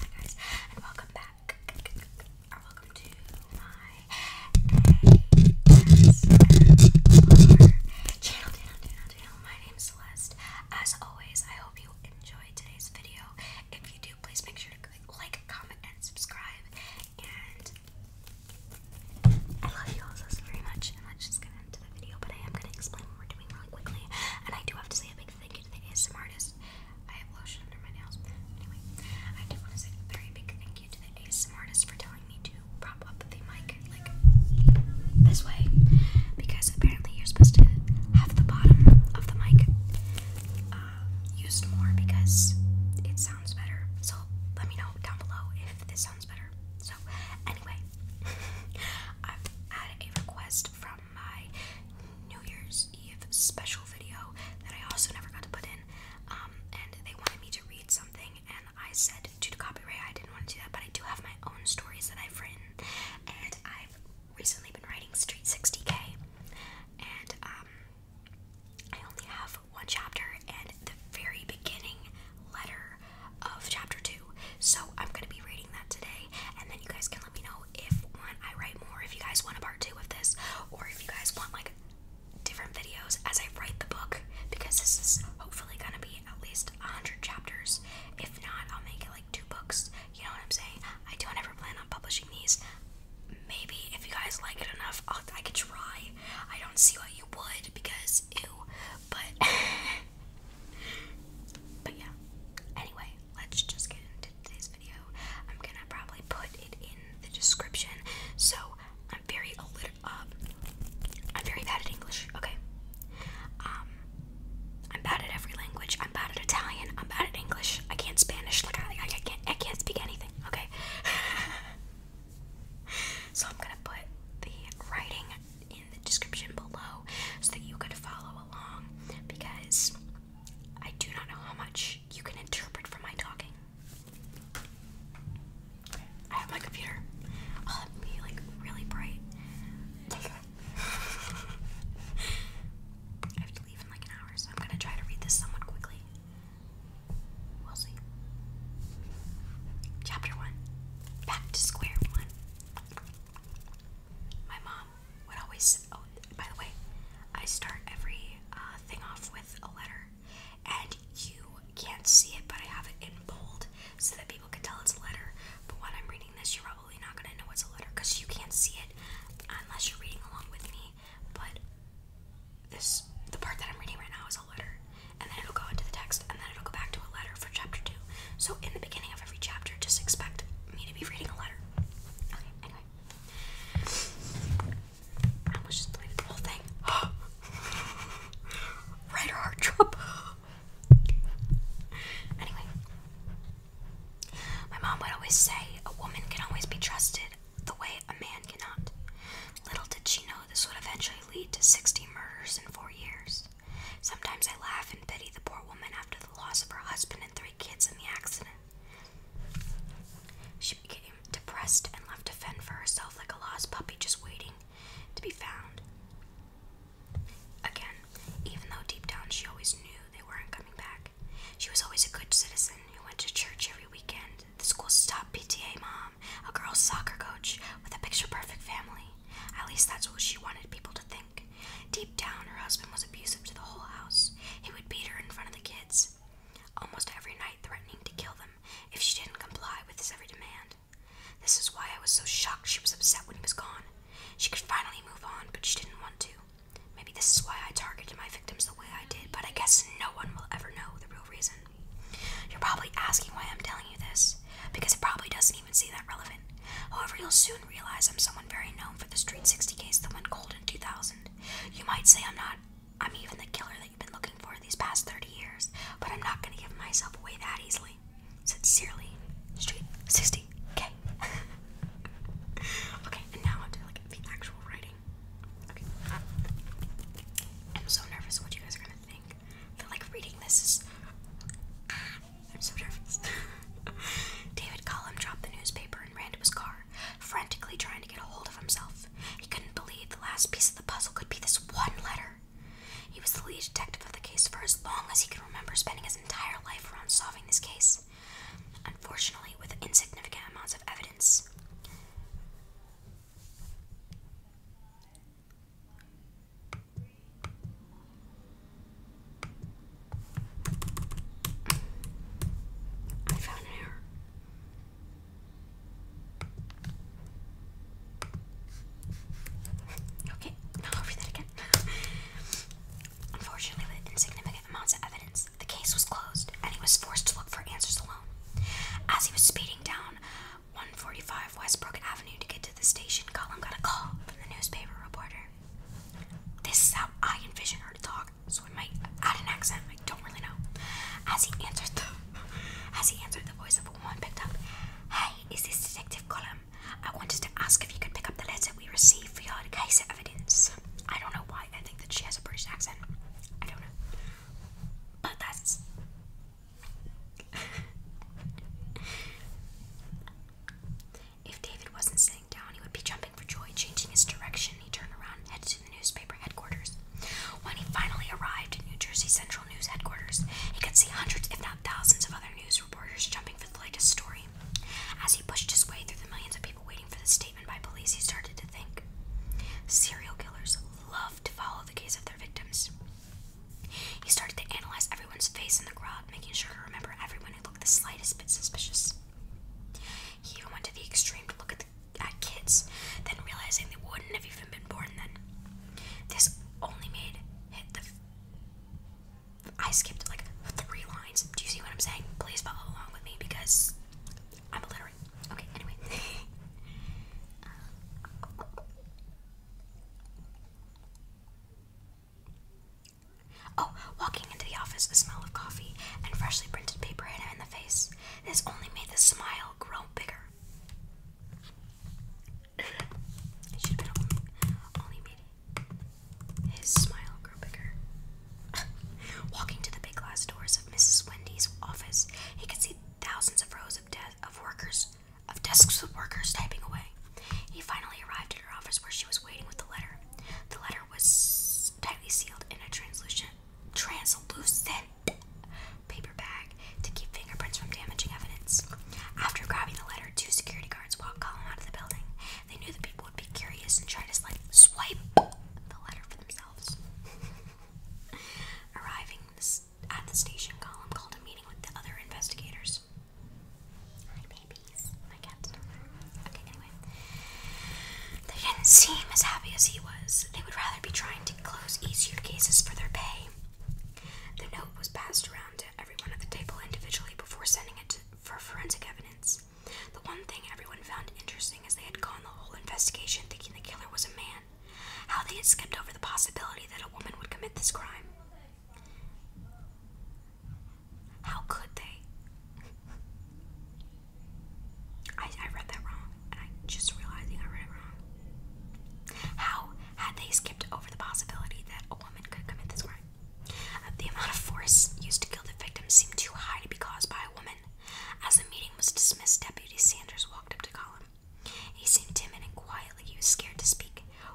Hi guys, and welcome back, uh, welcome to my ASMR channel, channel, channel, channel. My As always, I hope you enjoyed today's video. If you do, please make sure to click like, comment, and subscribe. And I love you all so very much, and let's just get into the video. But I am going to explain what we're doing really quickly, and I do have to say a big like thinking the ASMR artist. I have lotion under my nails. Anyway, I do want to say a very big thank you to the ASMR artist for telling me to prop up the mic like this way because apparently you're supposed to have the bottom of the mic um, used more because it sounds better. So let me know down below if this sounds better. So anyway, I've had a request from my New Year's Eve special video that I also never got to put in. Um, and they wanted me to read something, and I said due to copyright, I didn't want to do that. But I do have my own stories that I've written, and I've recently been writing Street 60K, and um, I only have one chapter and the very beginning letter of chapter two. So I'm gonna be reading that today, and then you guys can let me know if I write more, if you guys want to part two of this, or if you guys want like different videos as I write the book because this is hopefully gonna be at least hundred chapters. If not, I'll make it like two books. You know what I'm saying? I don't ever plan on publishing these. Maybe if you guys like it enough, i I could try. I don't see why you would because ew, but But yeah, anyway, let's just get into today's video. I'm gonna probably put it in the description. So I'm very a little um, I'm very bad at English. Okay, um, I'm bad at every language. I'm bad at Italian. I'm bad at English. I can't Spanish. Like I, I can't I can't speak anything. Okay. so I'm gonna put the writing in the description below so that you could follow along because I do not know how much you can interpret from my talking. I have my computer. Oh, that be like really bright. I have to leave in like an hour, so I'm gonna try to read this somewhat quickly. We'll see. Chapter 1 Back to Square One my mom would always. Oh, by the way, I start every uh, thing off with a letter, and you can't see it, but I have it in bold so that people can tell it's a letter. But when I'm reading this, you're probably not gonna know it's a letter because you can't see it unless you're reading along with me. But this, the part that I'm reading right now, is a letter, and then it'll go into the text, and then it'll go back to a letter chapter two. So in the beginning of every chapter, just expect me to be reading a letter. Okay, anyway. I almost just deleted the whole thing. Writer heart drop. anyway. My mom would always say a woman can always be trusted the way a man cannot. Little did she know this would eventually lead to 60 murders in four years. Sometimes I laugh and pity the poor woman after the loss of her husband and three kids in the accident. She became depressed and left to fend for herself like a lost puppy just waiting to be found. Again, even though deep down she always knew they weren't coming back, she was always a good citizen who went to church every weekend, the school's top PTA mom, a girls' soccer coach with a picture perfect family. At least that's what she wanted people to think. Deep down, her husband was abusive to the whole house. He would beat her in front of the kids, almost every night, threatening to kill them if she didn't comply with his every demand. This is why I was so shocked she was upset when he was gone. She could finally move on, but she didn't want to. Maybe this is why I targeted my victims the way I did, but I guess no one will ever know the real reason. You're probably asking why I'm telling you this, because it probably doesn't even see that relevant. However, you'll soon realize I'm someone very known for the Street 60 case that went cold in 2000. You might say I'm not, I'm even the killer that you've been looking for these past 30 years, but I'm not going to give myself away that easily. Sincerely, Street 60. k okay, and now onto like the actual writing. Okay. I'm so nervous what you guys are gonna think. I like reading this is. I'm so nervous. David Collum dropped the newspaper and ran to his car, frantically trying to get a hold of himself. He couldn't believe the last piece of the puzzle could be this one letter. He was the lead detective of the case for as long as he could remember, spending his entire life around solving this case. Unfortunately, with insignificant amounts of evidence. I found an error. Okay, I'll read that again. Unfortunately, with insignificant amounts of evidence, the case was closed, and he was forced to look for answers alone. As he was speeding down 145 Westbrook Avenue to get to the station, Colin got a call from the newspaper reporter. This is how I envision her to talk, so I might add an accent. I don't really know. As he answered the, as he answered, the voice of a woman picked up. Hey, is this Detective Colin? I wanted to ask if you could pick up the letter we received for your case evidence. I don't know why. I think that she has a British accent. I don't know. But that's if David wasn't sitting down, he would be jumping for joy, changing his direction. He turned around and headed to the newspaper headquarters. When he finally arrived at New Jersey Central News headquarters, he could see hundreds, if not thousands, of other news reporters jumping for the latest story. As he pushed his way through the millions of people waiting for the statement by police, he started to think. Serial killers love to follow the case of their victims. He started to analyze everyone's face in the crowd, making sure to remember everyone who looked the slightest bit suspicious. He even went to the extreme to look at, the, at kids, then realizing they wouldn't have even been born then. This only made hit the. I skipped like three lines. Do you see what I'm saying? Please follow along with me because I'm illiterate. Okay, anyway. Um, Oh, walking into the office, the smell of coffee and freshly printed paper hit him in the face. This only made the smile grow bigger. his smile grow bigger. walking to the big glass doors of Mrs. Wendy's office, he could see thousands of rows of, death, of workers of desks with workers typing away. He finally arrived at her office where she was waiting with the letter. The letter was tightly sealed in a translucent, translucent paper bag to keep fingerprints from damaging evidence. After grabbing the letter, two security guards walked Colin out of the building. They knew the people would be curious and try to swipe the letter for themselves. Arriving at the station called a meeting with the other investigators. My babies. My cat's Okay, anyway. They didn't seem as happy as he was. They would rather be trying to close easier cases for their pay. The note was passed around to everyone at the table individually before sending it for forensic evidence. The one thing everyone found interesting is they had gone the whole investigation thinking the killer was a man. How they had skimmed over the possibility that a woman would commit this crime. How could they? I, I read that wrong, just realizing I read it wrong. How had they skipped over the possibility that a woman could commit this crime? Uh, the amount of force used to kill the victim seemed too high to be caused by a woman. As the meeting was dismissed, Deputy Sanders walked up to Colin. He seemed timid and quiet, like he was scared to speak.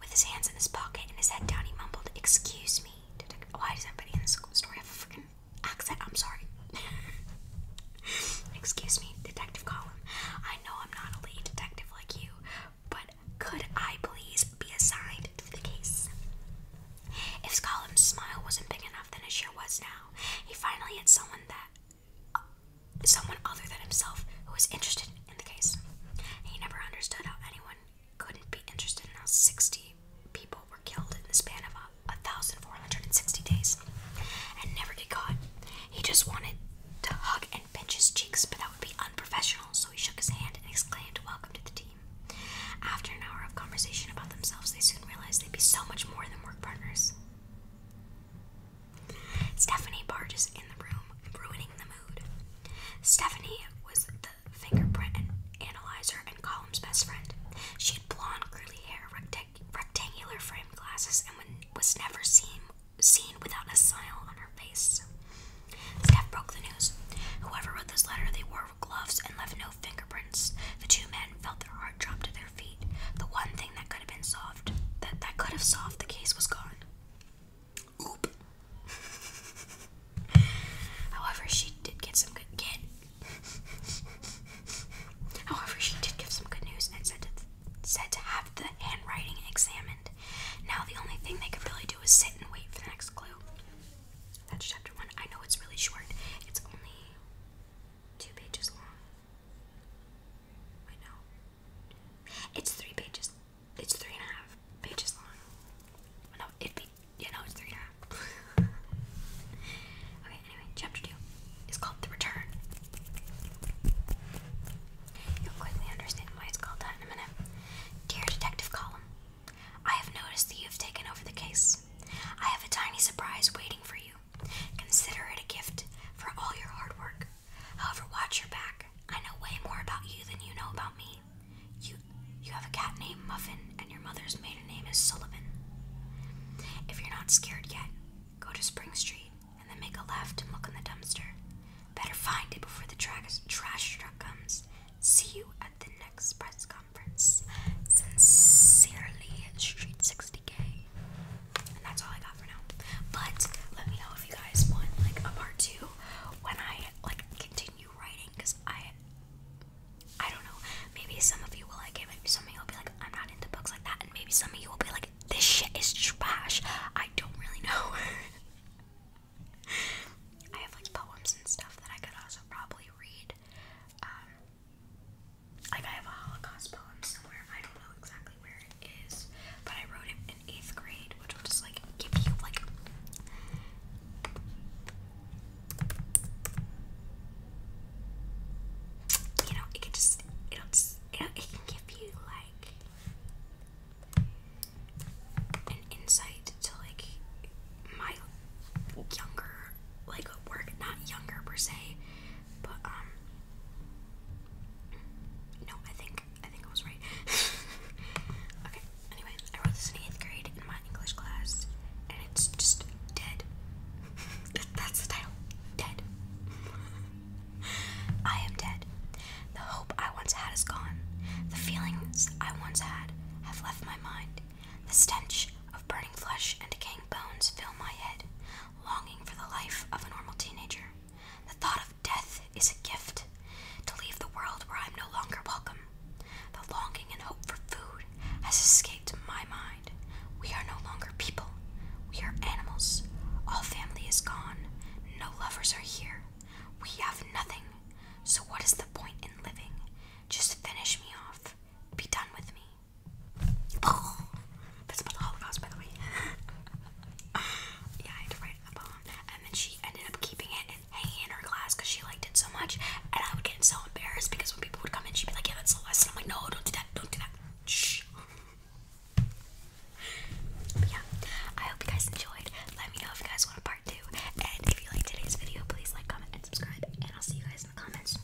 With his hands in his pocket and his head down, he mumbled, Excuse me, Detective. Why does everybody in this story have a freaking accent? I'm sorry. Excuse me, Detective Collum. I know I'm not a lead detective like you, but could I please be assigned to the case? If Column's smile wasn't big enough, then it sure was now. He finally had someone that someone other than himself who was interested in the case. He never understood how anyone couldn't be interested in how 60 people were killed in the span of a, 1,460 days and never get caught. He just wanted to hug and pinch his cheeks, but that would be unprofessional, so he shook his hand and exclaimed, Welcome to the team. After an hour of conversation about themselves, they soon realized they'd be so much more than work partners. Stephanie barges in the room, ruining the mood. Stephanie was the fingerprint analyzer and Column's best friend. She had blonde, curly hair, rectangular frame glasses, and was never seen seen without a smile on her face. Steph broke the news. Whoever wrote this letter, they wore gloves and left no fingerprints. The two men felt their heart drop to their feet. The one thing that could have been solved that that could have solved. The case was gone. Oop. However, she did get some good However, she did give some good news and said to said to have the handwriting examined. Now the only thing they could really do is sit and wait for the next clue. That's chapter one. I know it's really short. It's only two pages long. I know. It's three pages. It's three and a half pages long. No, it'd be, yeah, no, it's three and a half. okay, anyway, chapter two is called The Return. You'll quickly understand why it's called that in a minute. Dear Detective Column, I have noticed that you have taken over the case. I have a tiny surprise waiting for you. Consider it a gift for all your hard work. However, watch your back. I know way more about you than you know about me. You you have a cat named Muffin and your mother's maiden name is Sullivan. If you're not scared yet, go to Spring Street and then make a left and look in the dumpster. Better find it before the tra trash truck comes. See you at the next press conference. Sincerely, Street 60K. And that's all I got for now. But let me know if you guys want like a part two when I like continue writing because I I don't know. Maybe some of you will like it, maybe some of you will be like, I'm not into books like that, and maybe some of you will be like, this shit is trash. I don't really know. I have like poems and stuff that I could also probably read. Um, like, I have a Holocaust poem somewhere. I don't know exactly where it is, but I wrote it in eighth grade, which will just like give you like. You know, it can just it'll it it can give you like an insight to like my younger like work, not younger per se, but um no, I think I think I was right. okay, anyway, I wrote this in eighth grade in my English class, and it's just dead. That's the title. Dead. I am dead. The hope I once had is gone. The feelings I once had have left my mind. The stench of burning flesh and decaying bones fill my head longing for the life of a normal teenager. The thought of death is a gift, to leave the world where I'm no longer welcome. The longing and hope for food has escaped my mind. We are no longer people, we are animals. All family is gone, no lovers are here. We have nothing, so what is the point in living? Just finish me off, be done with me. that's about the Holocaust, by the way. yeah, I had to write a poem. And then she ended up keeping it and hanging in her class because she liked it so much. And I would get so embarrassed because when people would come in, she'd be like, yeah, that's the lesson. I'm like, no, don't do that. Don't do that. Shh. yeah, I hope you guys enjoyed. Let me know if you guys want part two. And if you liked today's video, please like, comment, and subscribe. And I'll see you guys in the comments.